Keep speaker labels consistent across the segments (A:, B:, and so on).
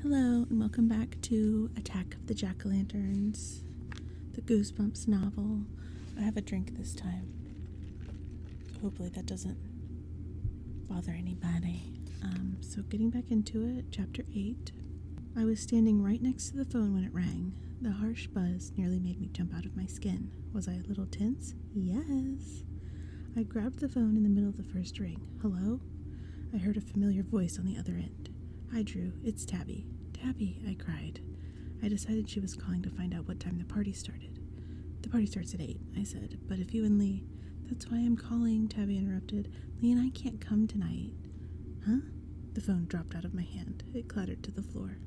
A: Hello, and welcome back to Attack of the Jack o' Lanterns, the Goosebumps novel. I have a drink this time. Hopefully, that doesn't bother anybody. Um, so, getting back into it, chapter 8. I was standing right next to the phone when it rang. The harsh buzz nearly made me jump out of my skin. Was I a little tense? Yes. I grabbed the phone in the middle of the first ring. Hello? I heard familiar voice on the other end. Hi, Drew. It's Tabby. Tabby, I cried. I decided she was calling to find out what time the party started. The party starts at 8, I said, but if you and Lee. That's why I'm calling, Tabby interrupted. Lee and I can't come tonight. Huh? The phone dropped out of my hand. It clattered to the floor.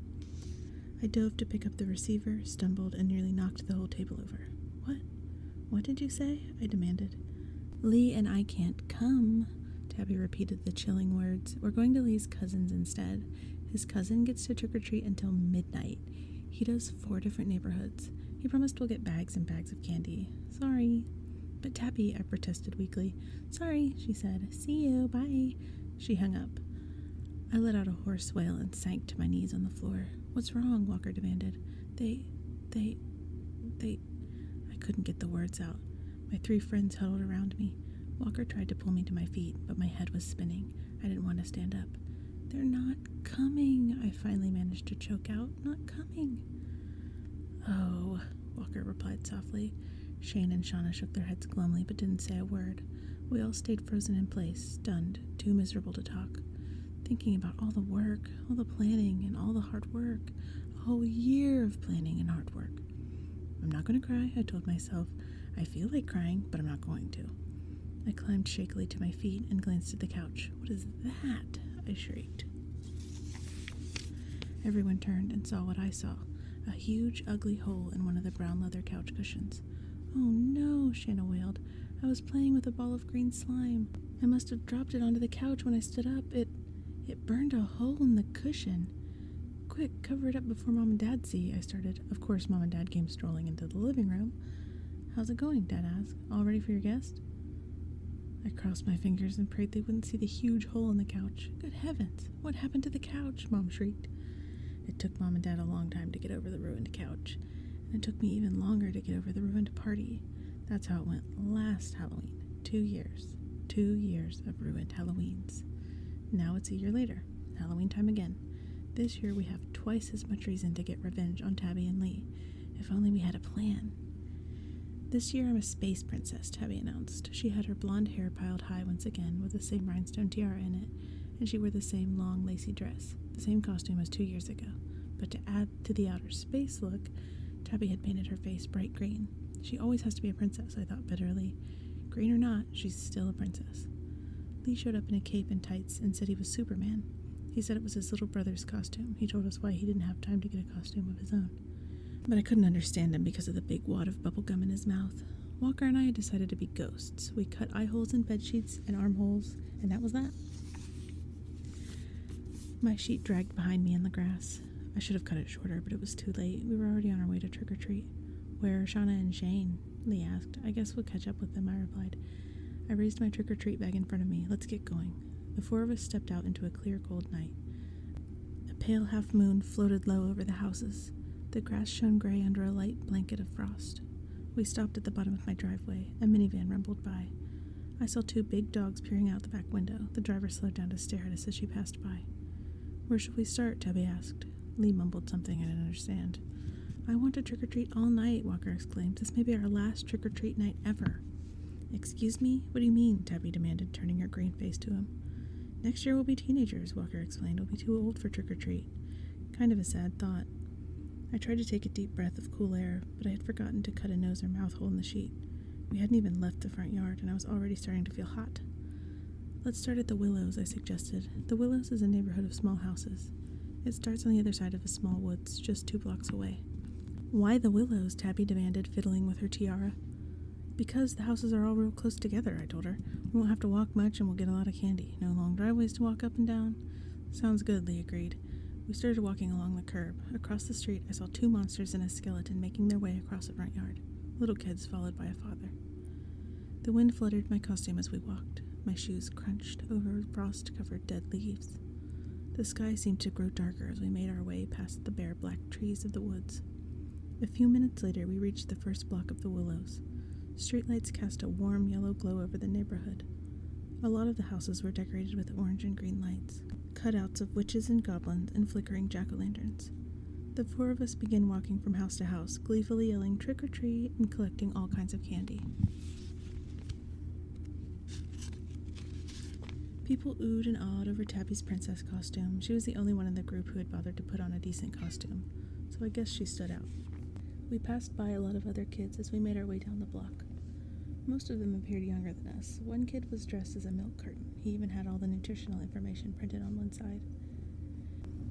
A: I dove to pick up the receiver, stumbled, and nearly knocked the whole table over. What? What did you say? I demanded. Lee and I can't come, Tabby repeated the chilling words. We're going to Lee's cousin's instead. His cousin gets to trick or treat until midnight. He does four different neighborhoods. He promised we'll get bags and bags of candy. Sorry. But Tabby, I protested weakly. Sorry, she said. See you. Bye. She hung up. I let out a hoarse wail and sank to my knees on the floor. What's wrong? Walker demanded. They, they, they I couldn't get the words out. My three friends huddled around me. Walker tried to pull me to my feet, but my head was spinning. I didn't want to stand up. They're not coming, I finally managed to choke out. Not coming. Oh, Walker replied softly. Shane and Shauna shook their heads glumly but didn't say a word. We all stayed frozen in place, stunned, too miserable to talk thinking about all the work, all the planning, and all the hard work. A whole year of planning and hard work. I'm not going to cry, I told myself. I feel like crying, but I'm not going to. I climbed shakily to my feet and glanced at the couch. What is that? I shrieked. Everyone turned and saw what I saw a huge, ugly hole in one of the brown leather couch cushions. Oh no, Shanna wailed. I was playing with a ball of green slime. I must have dropped it onto the couch when I stood up. It. It burned a hole in the cushion. Quick, cover it up before Mom and Dad see. I started. Of course, Mom and Dad came strolling into the living room. How's it going? Dad asked. All ready for your guest? I crossed my fingers and prayed they wouldn't see the huge hole in the couch. Good heavens! What happened to the couch? Mom shrieked. It took Mom and Dad a long time to get over the ruined couch, and it took me even longer to get over the ruined party. That's how it went last Halloween. Two years. Two years of ruined Halloweens. Now it's a year later. Halloween time again. This year we have twice as much reason to get revenge on Tabby and Lee. If only we had a plan. This year I'm a space princess, Tabby announced. She had her blonde hair piled high once again with the same rhinestone tiara in it, and she wore the same long lacy dress, the same costume as two years ago. But to add to the outer space look, Tabby had painted her face bright green. She always has to be a princess, I thought bitterly. Green or not, she's still a princess. Lee showed up in a cape and tights and said he was Superman. He said it was his little brother's costume. He told us why he didn't have time to get a costume of his own. But I couldn't understand him because of the big wad of bubble gum in his mouth. Walker and I had decided to be ghosts. We cut eye holes in bed sheets and armholes, and that was that. My sheet dragged behind me in the grass. I should have cut it shorter, but it was too late. We were already on our way to trick or treat. Where are Shauna and Shane? Lee asked. I guess we'll catch up with them, I replied. I raised my trick or treat bag in front of me. Let's get going. The four of us stepped out into a clear, cold night. A pale half moon floated low over the houses. The grass shone gray under a light blanket of frost. We stopped at the bottom of my driveway. A minivan rumbled by. I saw two big dogs peering out the back window. The driver slowed down to stare at us as she passed by. Where shall we start? Tubby asked. Lee mumbled something I didn't understand. I want to trick or treat all night, Walker exclaimed. This may be our last trick or treat night ever. Excuse me? What do you mean? Tabby demanded, turning her green face to him. Next year we'll be teenagers, Walker explained. We'll be too old for trick or treat. Kind of a sad thought. I tried to take a deep breath of cool air, but I had forgotten to cut a nose or mouth hole in the sheet. We hadn't even left the front yard, and I was already starting to feel hot. Let's start at the Willows, I suggested. The Willows is a neighborhood of small houses. It starts on the other side of a small woods, just two blocks away. Why the Willows? Tabby demanded, fiddling with her tiara. Because the houses are all real close together, I told her. We won't have to walk much and we'll get a lot of candy. No long driveways to walk up and down. Sounds good, Lee agreed. We started walking along the. Across the street, I saw two monsters and a skeleton making their way across a front yard, little kids followed by a father. The wind fluttered my costume as we walked. My shoes crunched over frost covered dead leaves. The sky seemed to grow darker as we made our way past the bare black trees of the woods. A few minutes later, we reached the first block of the willows. Streetlights cast a warm yellow glow over the neighborhood. A lot of the houses were decorated with orange and green lights cutouts of witches and goblins and flickering jack o' lanterns. The four of us begin walking from house to house, gleefully yelling trick or treat and collecting all kinds of candy. People oohed and awed over Tabby's princess costume. She was the only one in the group who had bothered to put on a decent costume, so I guess she stood out. We passed by a lot of other kids as we made our way down the block. Most of them appeared younger than us. One kid was dressed as a milk curtain. He even had all the nutritional information printed on one side.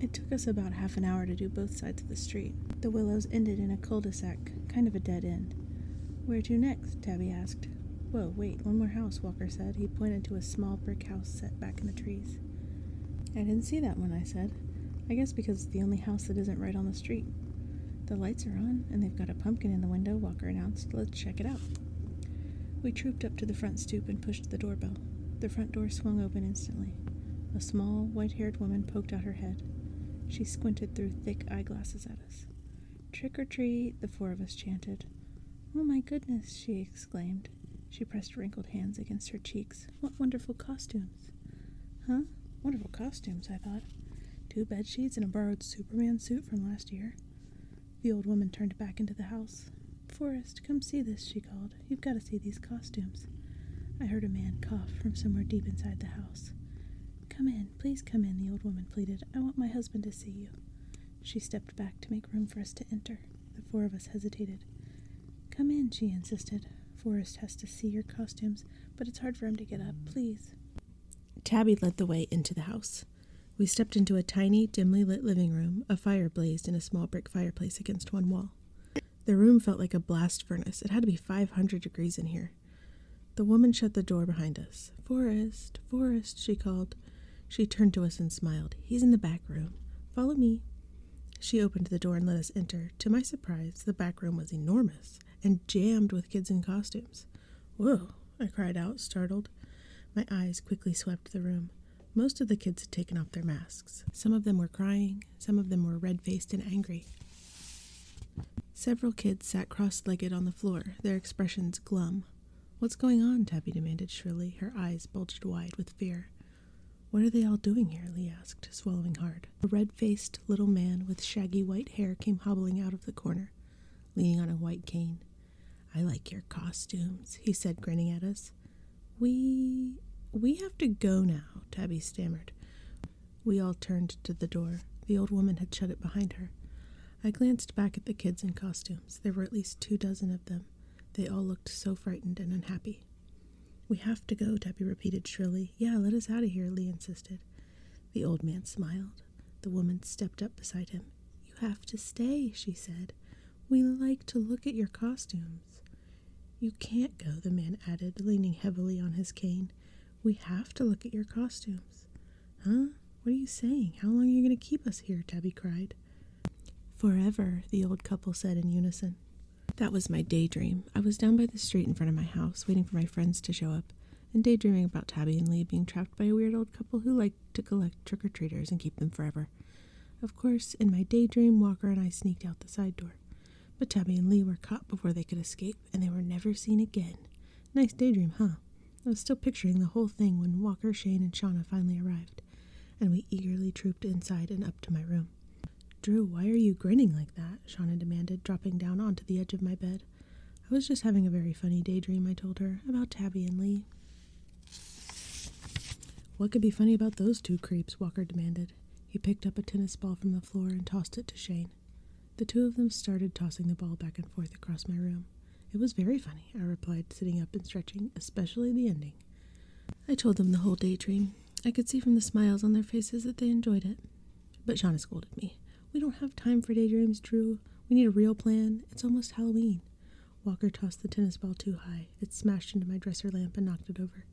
A: It took us about half an hour to do both sides of the street. The willows ended in a cul de sac, kind of a dead end. Where to next? Tabby asked. Whoa, wait, one more house, Walker said. He pointed to a small brick house set back in the trees. I didn't see that one, I said. I guess because it's the only house that isn't right on the street. The lights are on, and they've got a pumpkin in the window, Walker announced. Let's check it out. We trooped up to the front stoop and pushed the doorbell. The front door swung open instantly. A small, white haired woman poked out her head. She squinted through thick eyeglasses at us. Trick or treat, the four of us chanted. Oh my goodness, she exclaimed. She pressed wrinkled hands against her cheeks. What wonderful costumes! Huh? Wonderful costumes, I thought. Two bed sheets and a borrowed Superman suit from last year. The old woman turned back into the house. Forrest, come see this, she called. You've got to see these costumes. I heard a man cough from somewhere deep inside the house. Come in, please come in, the old woman pleaded. I want my husband to see you. She stepped back to make room for us to enter. The four of us hesitated. Come in, she insisted. Forrest has to see your costumes, but it's hard for him to get up. Please. Tabby led the way into the house. We stepped into a tiny, dimly lit living room. A fire blazed in a small brick fireplace against one wall. The room felt like a blast furnace. It had to be 500 degrees in here. The woman shut the door behind us. Forest, Forest, she called. She turned to us and smiled. He's in the back room. Follow me. She opened the door and let us enter. To my surprise, the back room was enormous and jammed with kids in costumes. Whoa! I cried out, startled. My eyes quickly swept the room. Most of the kids had taken off their masks. Some of them were crying, some of them were red faced and angry. Several kids sat cross legged on the floor, their expressions glum. What's going on? Tabby demanded shrilly, her eyes bulged wide with fear. What are they all doing here? Lee asked, swallowing hard. A red faced little man with shaggy white hair came hobbling out of the corner, leaning on a white cane. I like your costumes, he said, grinning at us. We. we have to go now, Tabby stammered. We all turned to the door. The old woman had shut it behind her. I glanced back at the kids in costumes. There were at least two dozen of them. They all looked so frightened and unhappy. We have to go, Tabby repeated shrilly. Yeah, let us out of here, Lee insisted. The old man smiled. The woman stepped up beside him. You have to stay, she said. We like to look at your costumes. You can't go, the man added, leaning heavily on his cane. We have to look at your costumes. Huh? What are you saying? How long are you going to keep us here? Tabby cried. Forever, the old couple said in unison. That was my daydream. I was down by the street in front of my house, waiting for my friends to show up and daydreaming about Tabby and Lee being trapped by a weird old couple who liked to collect trick or treaters and keep them forever. Of course, in my daydream, Walker and I sneaked out the side door. But Tabby and Lee were caught before they could escape, and they were never seen again. Nice daydream, huh? I was still picturing the whole thing when Walker, Shane, and Shauna finally arrived, and we eagerly trooped inside and up to my room. Drew, why are you grinning like that? Shauna demanded, dropping down onto the edge of my bed. I was just having a very funny daydream, I told her, about Tabby and Lee. What could be funny about those two creeps? Walker demanded. He picked up a tennis ball from the floor and tossed it to Shane. The two of them started tossing the ball back and forth across my room. It was very funny, I replied, sitting up and stretching, especially the ending. I told them the whole daydream. I could see from the smiles on their faces that they enjoyed it. But Shauna scolded me. We don't have time for daydreams, Drew. We need a real plan. It's almost Halloween. Walker tossed the tennis ball too high. It smashed into my dresser lamp and knocked it over.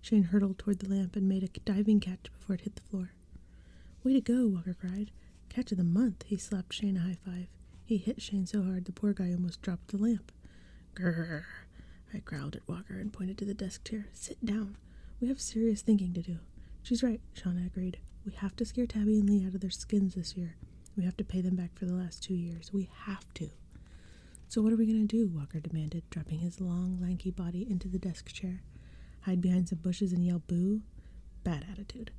A: Shane hurtled toward the lamp and made a diving catch before it hit the floor. Way to go, Walker cried. Catch of the month. He slapped Shane a high five. He hit Shane so hard the poor guy almost dropped the lamp. Grrr. I growled at Walker and pointed to the desk chair. Sit down. We have serious thinking to do. She's right, Shauna agreed. We have to scare Tabby and Lee out of their skins this year. We have to pay them back for the last two years. We have to. So, what are we going to do? Walker demanded, dropping his long, lanky body into the desk chair. Hide behind some bushes and yell boo? Bad attitude.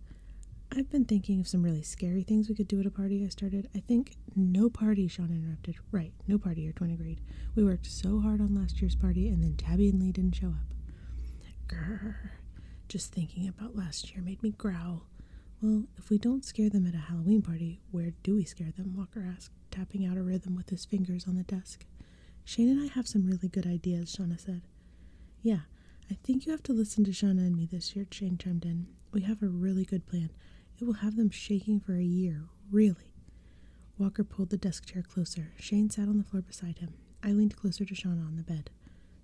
A: I've been thinking of some really scary things we could do at a party I started. I think no party, Sean interrupted. Right, no party, your 20 grade. We worked so hard on last year's party, and then Tabby and Lee didn't show up. Grrr. Just thinking about last year made me growl. Well, if we don't scare them at a Halloween party, where do we scare them? Walker asked, tapping out a rhythm with his fingers on the desk. Shane and I have some really good ideas, Shauna said. Yeah, I think you have to listen to Shauna and me this year, Shane chimed in. We have a really good plan. It will have them shaking for a year, really. Walker pulled the desk chair closer. Shane sat on the floor beside him. I leaned closer to Shauna on the bed.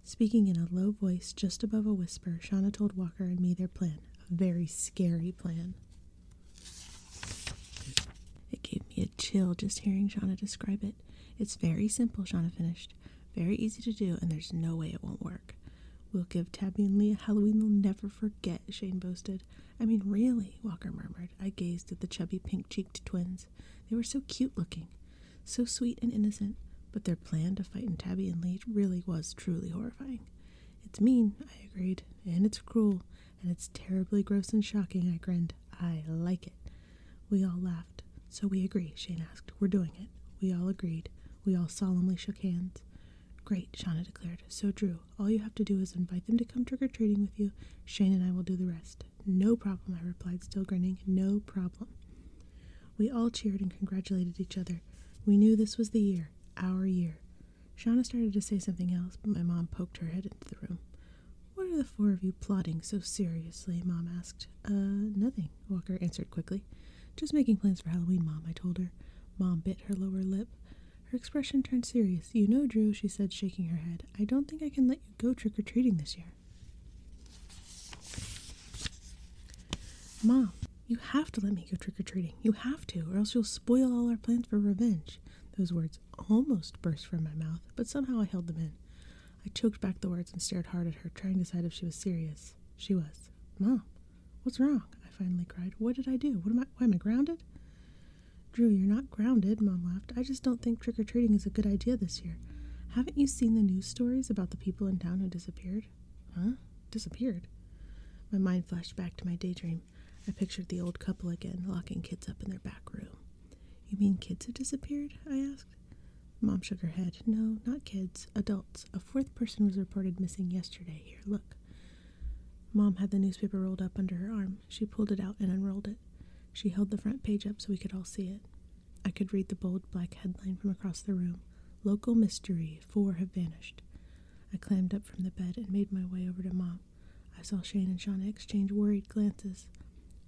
A: Speaking in a low voice just above a whisper, Shauna told Walker and me their plan a very scary plan. It gave me a chill just hearing Shauna describe it. It's very simple, Shauna finished. Very easy to do, and there's no way it won't work. We'll give Tabby and Leah a Halloween they'll never forget, Shane boasted. I mean, really, Walker murmured. I gazed at the chubby pink cheeked twins. They were so cute looking so sweet and innocent, but their plan to fight in Tabby and lead really was truly horrifying. It's mean, I agreed, and it's cruel, and it's terribly gross and shocking, I grinned. I like it. We all laughed. So we agree, Shane asked. We're doing it. We all agreed. We all solemnly shook hands. Great, Shauna declared. So, Drew, all you have to do is invite them to come trick or treating with you. Shane and I will do the rest. No problem, I replied, still grinning. No problem. We all cheered and congratulated each other. We knew this was the year, our year. Shauna started to say something else, but my mom poked her head into the room. What are the four of you plotting so seriously? Mom asked. Uh, nothing, Walker answered quickly. Just making plans for Halloween, Mom, I told her. Mom bit her lower lip. Her expression turned serious. You know, Drew, she said, shaking her head, I don't think I can let you go trick or treating this year. Mom, you have to let me go trick or treating. You have to, or else you'll spoil all our plans for revenge. Those words almost burst from my mouth, but somehow I held them in. I choked back the words and stared hard at her, trying to decide if she was serious. She was. Mom, what's wrong? I finally cried. What did I do? What am I? Why am I grounded? Drew, you're not grounded, Mom laughed. I just don't think trick or treating is a good idea this year. Haven't you seen the news stories about the people in town who disappeared? disappeared. Huh? Disappeared? My mind flashed back to my daydream. I pictured the old couple again, locking kids up in their back room. You mean kids have disappeared? I asked. Mom shook her head. No, not kids, adults. A fourth person was reported missing yesterday. Here, look. Mom had the newspaper rolled up under her arm. She pulled it out and unrolled it. She held the front page up so we could all see it. I could read the bold black headline from across the room Local Mystery Four Have Vanished. I climbed up from the bed and made my way over to Mom. I saw Shane and Shauna exchange worried glances.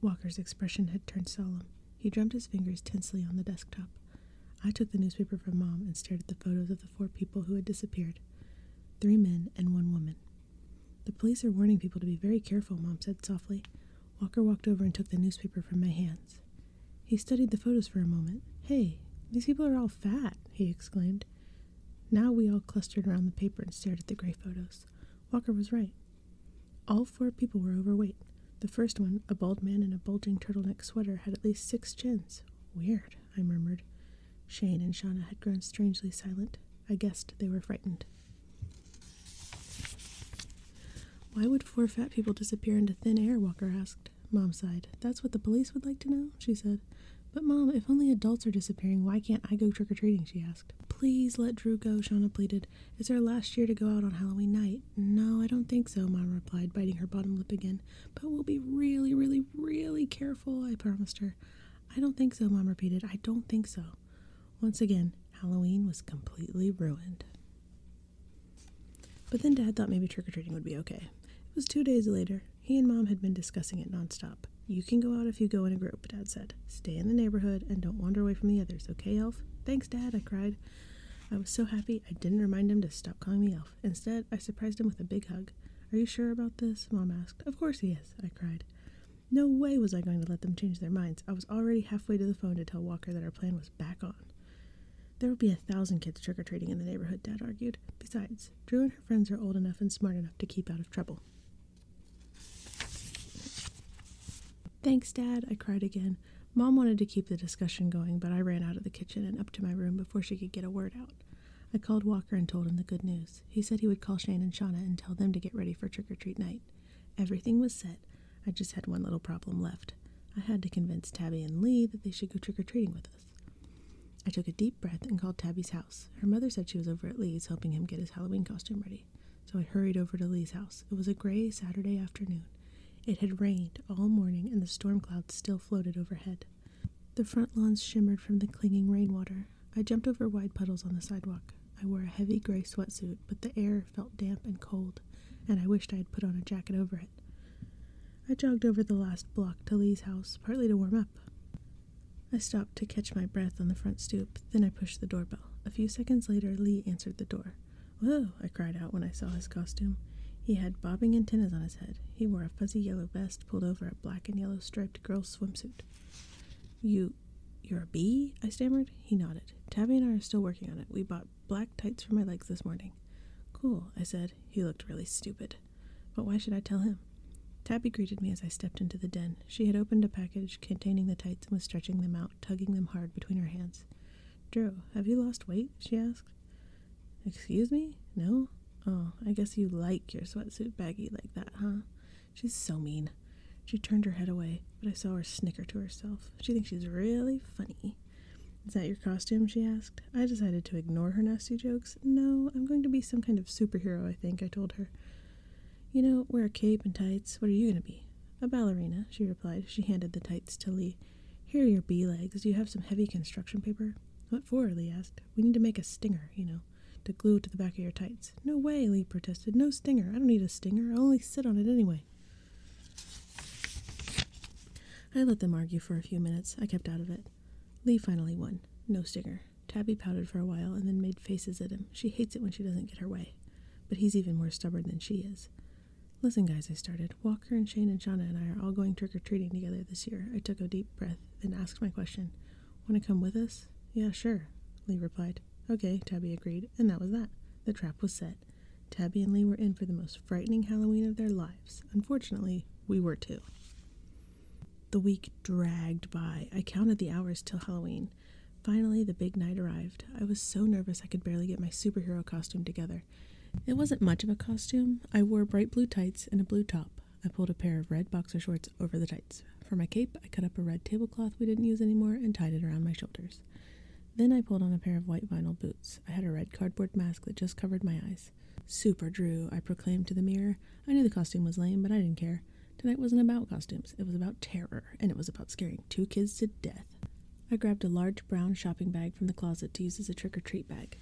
A: Walker's expression had turned solemn. He drummed his fingers tensely on the desktop. I took the newspaper from Mom and stared at the photos of the four people who had disappeared three men and one woman. The police are warning people to be very careful, Mom said softly. Walker walked over and took the newspaper from my hands. He studied the photos for a moment. Hey, these people are all fat, he exclaimed. Now we all clustered around the paper and stared at the gray photos. Walker was right. All four people were overweight. The first one, a bald man in a bulging turtleneck sweater, had at least six chins. Weird, I murmured. Shane and Shauna had grown strangely silent. I guessed they were frightened. Why would four fat people disappear into thin air? Walker asked. Mom sighed. That's what the police would like to know, she said. But, Mom, if only adults are disappearing, why can't I go trick or treating? she asked. Please let Drew go, Shauna pleaded. It's our last year to go out on Halloween night. No, I don't think so, Mom replied, biting her bottom lip again. But we'll be really, really, really careful, I promised her. I don't think so, Mom repeated. I don't think so. Once again, Halloween was completely ruined. But then Dad thought maybe trick or treating would be okay. It was two days later. He and Mom had been discussing it nonstop. You can go out if you go in a group, Dad said. Stay in the neighborhood and don't wander away from the others, okay, Elf? Thanks, Dad, I cried. I was so happy I didn't remind him to stop calling me Elf. Instead, I surprised him with a big hug. Are you sure about this? Mom asked. Of course he is, I cried. No way was I going to let them change their minds. I was already halfway to the phone to tell Walker that our plan was back on. There would be a thousand kids trick or treating in the neighborhood, Dad argued. Besides, Drew and her friends are old enough and smart enough to keep out of trouble. Thanks, Dad, I cried again. Mom wanted to keep the discussion going, but I ran out of the kitchen and up to my room before she could get a word out. I called Walker and told him the good news. He said he would call Shane and Shauna and tell them to get ready for trick or treat night. Everything was set, I just had one little problem left. I had to convince Tabby and Lee that they should go trick or treating with us. I took a deep breath and called Tabby's house. Her mother said she was over at Lee's helping him get his Halloween costume ready, so I hurried over to Lee's house. It was a gray Saturday afternoon. It had rained all morning and the storm clouds still floated overhead. The front lawns shimmered from the clinging rainwater. I jumped over wide puddles on the sidewalk. I wore a heavy gray sweat suit, but the air felt damp and cold, and I wished I had put on a jacket over it. I jogged over the last block to Lee's house, partly to warm up. I stopped to catch my breath on the front stoop, then I pushed the doorbell. A few seconds later, Lee answered the door. Whoa, I cried out when I saw his costume. He had bobbing antennas on his head. He wore a fuzzy yellow vest pulled over a black and yellow striped girl's swimsuit. You. You're a bee? I stammered. He nodded. Tabby and I are still working on it. We bought black tights for my legs this morning. Cool, I said. He looked really stupid. But why should I tell him? Tabby greeted me as I stepped into the den. She had opened a package containing the tights and was stretching them out, tugging them hard between her hands. Drew, have you lost weight? she asked. Excuse me? No? Oh, I guess you like your sweatsuit baggy like that, huh? She's so mean. She turned her head away, but I saw her snicker to herself. She thinks she's really funny. Is that your costume? she asked. I decided to ignore her nasty jokes. No, I'm going to be some kind of superhero, I think, I told her. You know, wear a cape and tights. What are you going to be? A ballerina, she replied. She handed the tights to Lee. Here are your bee legs. you have some heavy construction paper? What for? Lee asked. We need to make a stinger, you know, to glue to the back of your tights. No way, Lee protested. No stinger. I don't need a stinger. I only sit on it anyway. I let them argue for a few minutes. I kept out of it. Lee finally won. No stinger. Tabby pouted for a while and then made faces at him. She hates it when she doesn't get her way. But he's even more stubborn than she is. Listen, guys, I started. Walker and Shane and Shauna and I are all going trick or treating together this year. I took a deep breath, and asked my question. Want to come with us? Yeah, sure, Lee replied. Okay, Tabby agreed, and that was that. The trap was set. Tabby and Lee were in for the most frightening Halloween of their lives. Unfortunately, we were too. The week dragged by. I counted the hours till Halloween. Finally, the big night arrived. I was so nervous I could barely get my superhero costume together. It wasn't much of a costume. I wore bright blue tights and a blue top. I pulled a pair of red boxer shorts over the tights. For my cape, I cut up a red tablecloth we didn't use anymore and tied it around my shoulders. Then I pulled on a pair of white vinyl boots. I had a red cardboard mask that just covered my eyes. Super Drew, I proclaimed to the mirror. I knew the costume was lame, but I didn't care. Tonight wasn't about costumes, it was about terror, and it was about scaring two kids to death. I grabbed a large brown shopping bag from the closet to use as a trick or treat bag.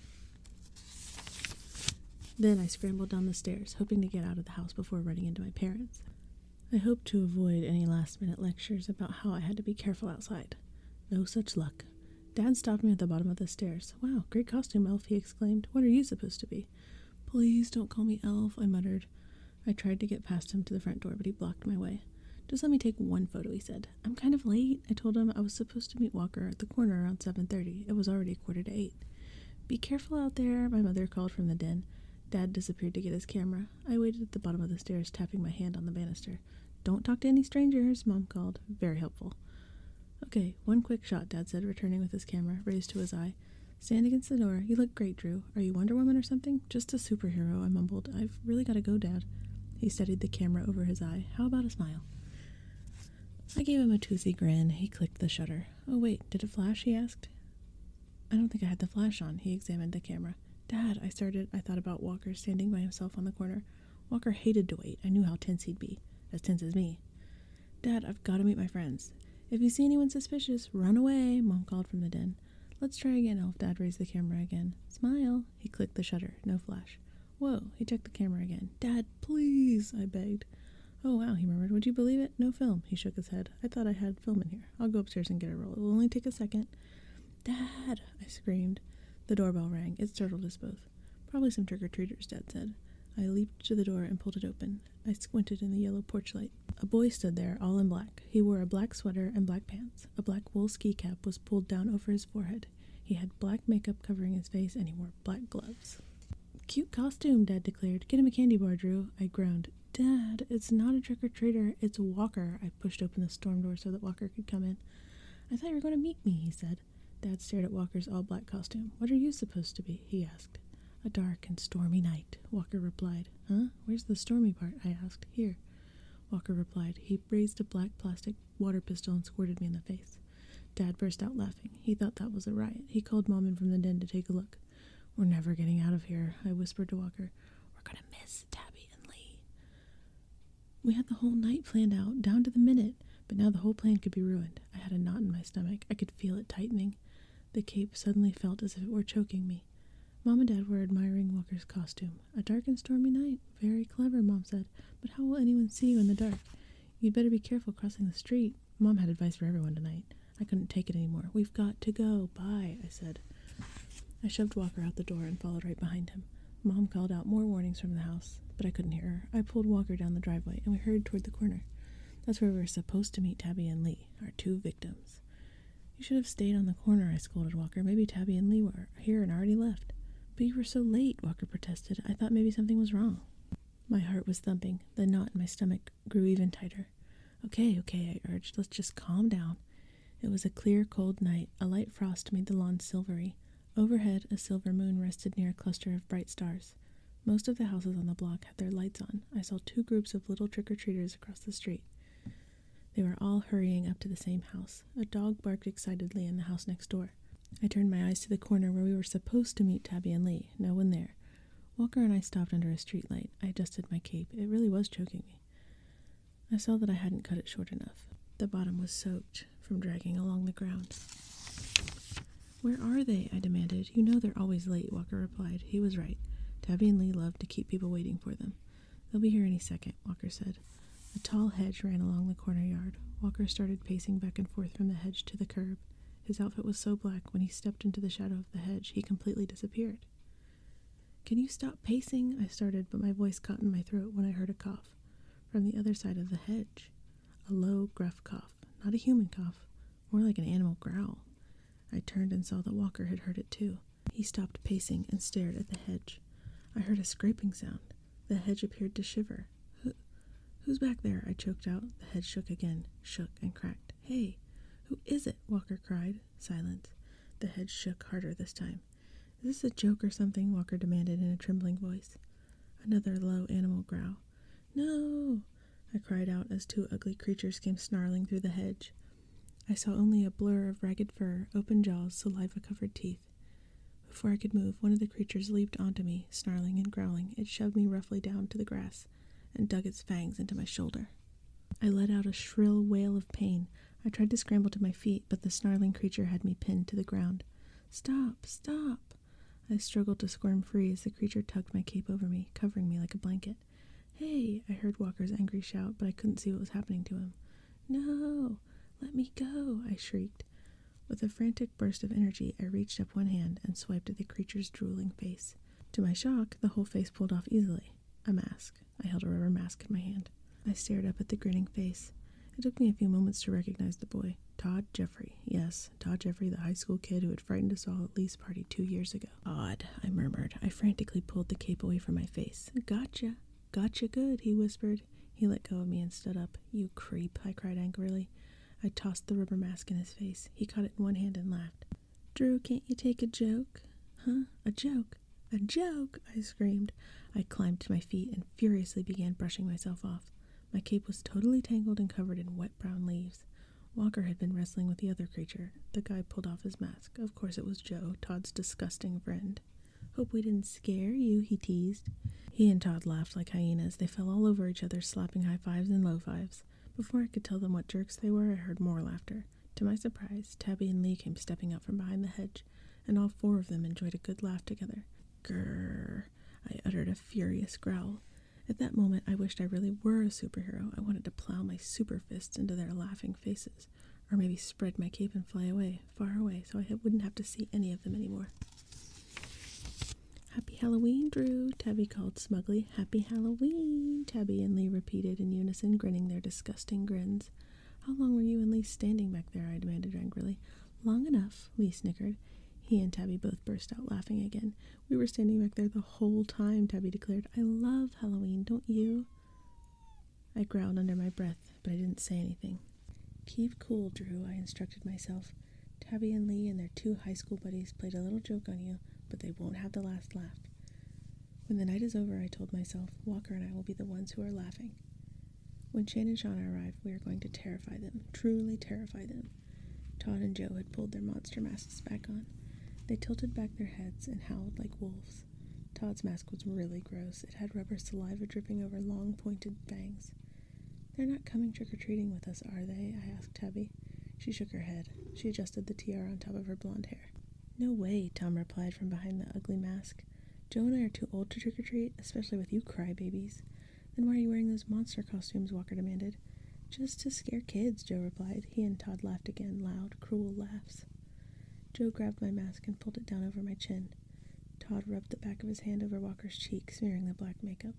A: Then I scrambled down the stairs, hoping to get out of the house before running into my parents. I hoped to avoid any last minute lectures about how I had to be careful outside. No such luck. Dad stopped me at the bottom of the stairs. Wow, great costume, Elf, he exclaimed. What are you supposed to be? Please don't call me Elf, I muttered. I tried to get past him to the front door, but he blocked my way. Just let me take one photo, he said. I'm kind of late. I told him I was supposed to meet Walker at the corner around 7.30. It was already a quarter to 8. Be careful out there, my mother called from the den. Dad disappeared to get his camera. I waited at the bottom of the stairs, tapping my hand on the banister. Don't talk to any strangers, Mom called. Very helpful. Okay, one quick shot, Dad said, returning with his camera raised to his eye. Stand against the door. You look great, Drew. Are you Wonder Woman or something? Just a superhero, I mumbled. I've really got to go, Dad. He studied the camera over his eye. How about a smile? I gave him a toothy grin. He clicked the shutter. Oh, wait, did it flash? He asked. I don't think I had the flash on. He examined the camera. Dad, I started. I thought about Walker standing by himself on the corner. Walker hated to wait. I knew how tense he'd be, as tense as me. Dad, I've got to meet my friends. If you see anyone suspicious, run away, Mom called from the den. Let's try again, Elf. Dad raised the camera again. Smile. He clicked the shutter. No flash. Whoa. He checked the camera again. Dad, please, I begged. Oh, wow, he murmured. Would you believe it? No film. He shook his head. I thought I had film in here. I'll go upstairs and get a roll. It will only take a second. Dad! I screamed. The doorbell rang. It startled us both. Probably some trick or treaters, Dad said. I leaped to the door and pulled it open. I squinted in the yellow porch light. A boy stood there, all in black. He wore a black sweater and black pants. A black wool ski cap was pulled down over his forehead. He had black makeup covering his face and he wore black gloves. Cute costume, Dad declared. Get him a candy bar, Drew. I groaned. Dad, it's not a trick or treater, it's a Walker, I pushed open the storm door so that Walker could come in. I thought you were going to meet me, he said. Dad stared at Walker's all black costume. What are you supposed to be? he asked. A dark and stormy night, Walker replied. Huh? Where's the stormy part? I asked. Here. Walker replied. He raised a black plastic water pistol and squirted me in the face. Dad burst out laughing. He thought that was a riot. He called Mom in from the den to take a look. We're never getting out of here, I whispered to Walker. We're gonna miss Tabby and Lee. We had the whole night planned out, down to the minute, but now the whole plan could be ruined. I had a knot in my stomach. I could feel it tightening. The cape suddenly felt as if it were choking me. Mom and Dad were admiring Walker's costume. A dark and stormy night. Very clever, Mom said. But how will anyone see you in the dark? You'd better be careful crossing the street. Mom had advice for everyone tonight. I couldn't take it any more. We've got to go. Bye, I said. I shoved Walker out the door and followed right behind him. Mom called out more warnings from the house, but I couldn't hear her. I pulled Walker down the driveway and we hurried toward the corner. That's where we were supposed to meet Tabby and Lee, our two victims. You should have stayed on the corner, I scolded Walker. Maybe Tabby and Lee were here and already left. But you were so late, Walker protested. I thought maybe something was wrong. My heart was thumping. The knot in my stomach grew even tighter. Okay, okay, I urged. Let's just calm down. It was a clear, cold night. A light frost made the lawn silvery. Overhead, a silver moon rested near a cluster of bright stars. Most of the houses on the block had their lights on. I saw two groups of little trick or treaters across the street. They were all hurrying up to the same house. A dog barked excitedly in the house next door. I turned my eyes to the corner where we were supposed to meet Tabby and Lee. No one there. Walker and I stopped under a streetlight. I adjusted my cape. It really was choking me. I saw that I hadn't cut it short enough. The bottom was soaked from dragging along the ground. Where are they? I demanded. You know they're always late, Walker replied. He was right. Tabby and Lee loved to keep people waiting for them. They'll be here any second, Walker said. A tall hedge ran along the corner yard. Walker started pacing back and forth from the hedge to the curb. His outfit was so black when he stepped into the shadow of the hedge, he completely disappeared. Can you stop pacing? I started, but my voice caught in my throat when I heard a cough from the other side of the hedge. A low, gruff cough, not a human cough, more like an animal growl. I turned and saw that Walker had heard it too. He stopped pacing and stared at the hedge. I heard a scraping sound. The hedge appeared to shiver. who's back there? I choked out. The hedge shook again, shook and cracked. Hey, who is it? Walker cried. Silence. The hedge shook harder this time. Is this a joke or something? Walker demanded in a trembling voice. Another low animal growl. No! I cried out as two ugly creatures came snarling through the hedge. I saw only a blur of ragged fur, open jaws, saliva covered teeth. Before I could move, one of the creatures leaped onto me, snarling and growling. It shoved me roughly down to the grass and dug its fangs into my shoulder. I let out a shrill wail of pain. I tried to scramble to my feet, but the snarling creature had me pinned to the ground. Stop! Stop! I struggled to squirm free as the creature tugged my cape over me, covering me like a blanket. Hey! I heard Walker's angry shout, but I couldn't see what was happening to him. No! Let me go! I shrieked. With a frantic burst of energy, I reached up one hand and swiped at the creature's drooling face. To my shock, the whole face pulled off easily. A mask. I held a rubber mask in my hand. I stared up at the grinning face. It took me a few moments to recognize the boy. Todd Jeffrey. Yes, Todd Jeffrey, the high school kid who had frightened us all at Lee's party two years ago. Odd, I murmured. I frantically pulled the cape away from my face. Gotcha. Gotcha good, he whispered. He let go of me and stood up. You creep, I cried angrily. I tossed the rubber mask in his face. He caught it in one hand and laughed. Drew, can't you take a joke? Huh? A joke? A joke! I screamed. I climbed to my feet and furiously began brushing myself off. My cape was totally tangled and covered in wet brown leaves. Walker had been wrestling with the other creature. The guy pulled off his mask. Of course, it was Joe, Todd's disgusting friend. Hope we didn't scare you, he teased. He and Todd laughed like hyenas. They fell all over each other, slapping high fives and low fives. Before I could tell them what jerks they were, I heard more laughter. To my surprise, Tabby and Lee came stepping out from behind the hedge, and all four of them enjoyed a good laugh together. Grrr. I uttered a furious growl. At that moment, I wished I really were a superhero. I wanted to plow my super fists into their laughing faces, or maybe spread my cape and fly away, far away, so I wouldn't have to see any of them anymore. Happy Halloween, Drew, Tabby called smugly. Happy Halloween, Tabby and Lee repeated in unison, grinning their disgusting grins. How long were you and Lee standing back there? I demanded angrily. Long enough, Lee snickered. He and Tabby both burst out laughing again. We were standing back there the whole time, Tabby declared. I love Halloween, don't you? I growled under my breath, but I didn't say anything. Keep cool, Drew, I instructed myself. Tabby and Lee and their two high school buddies played a little joke on you, but they won't have the last laugh. When the night is over, I told myself, Walker and I will be the ones who are laughing. When Shane and Shauna arrive, we are going to terrify them, truly terrify them. Todd and Joe had pulled their monster masks back on. They tilted back their heads and howled like wolves. Todd's mask was really gross. It had rubber saliva dripping over long, pointed fangs. They're not coming trick or treating with us, are they? I asked Tabby. She shook her head. She adjusted the tiara on top of her blonde hair. No way, Tom replied from behind the ugly mask. Joe and I are too old to trick or treat, especially with you crybabies. Then why are you wearing those monster costumes? Walker demanded. Just to scare kids, Joe replied. He and Todd laughed again, loud, cruel laughs. Joe grabbed my mask and pulled it down over my chin. Todd rubbed the back of his hand over Walker's cheek, smearing the black makeup.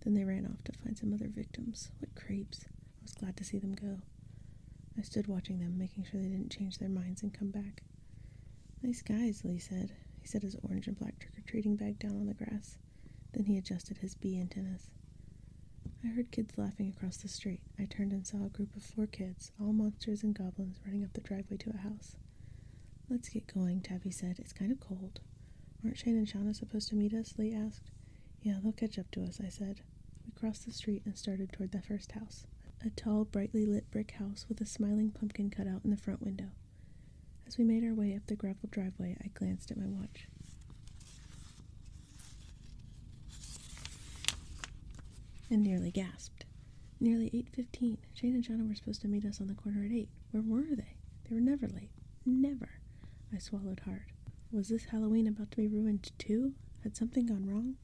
A: Then they ran off to find some other victims. What creeps. I was glad to see them go. I stood watching them, making sure they didn't change their minds and come back. Nice guys, Lee said. He set his orange and black trick or treating bag down on the grass. Then he adjusted his bee antennas. I heard kids laughing across the street. I turned and saw a group of four kids, all monsters and goblins, running up the driveway to a house. Let's get going, Tabby said. It's kind of cold. Aren't Shane and Shauna supposed to meet us? Lee asked. Yeah, they'll catch up to us, I said. We crossed the street and started toward the first house, a tall, brightly lit brick house with a smiling pumpkin cut out in the front window. As we made our way up the gravel driveway, I glanced at my watch. And nearly gasped. Nearly 8.15. Shane and Shauna were supposed to meet us on the corner at 8. Where were they? They were never late. Never. I swallowed hard. Was this Halloween about to be ruined too? Had something gone wrong?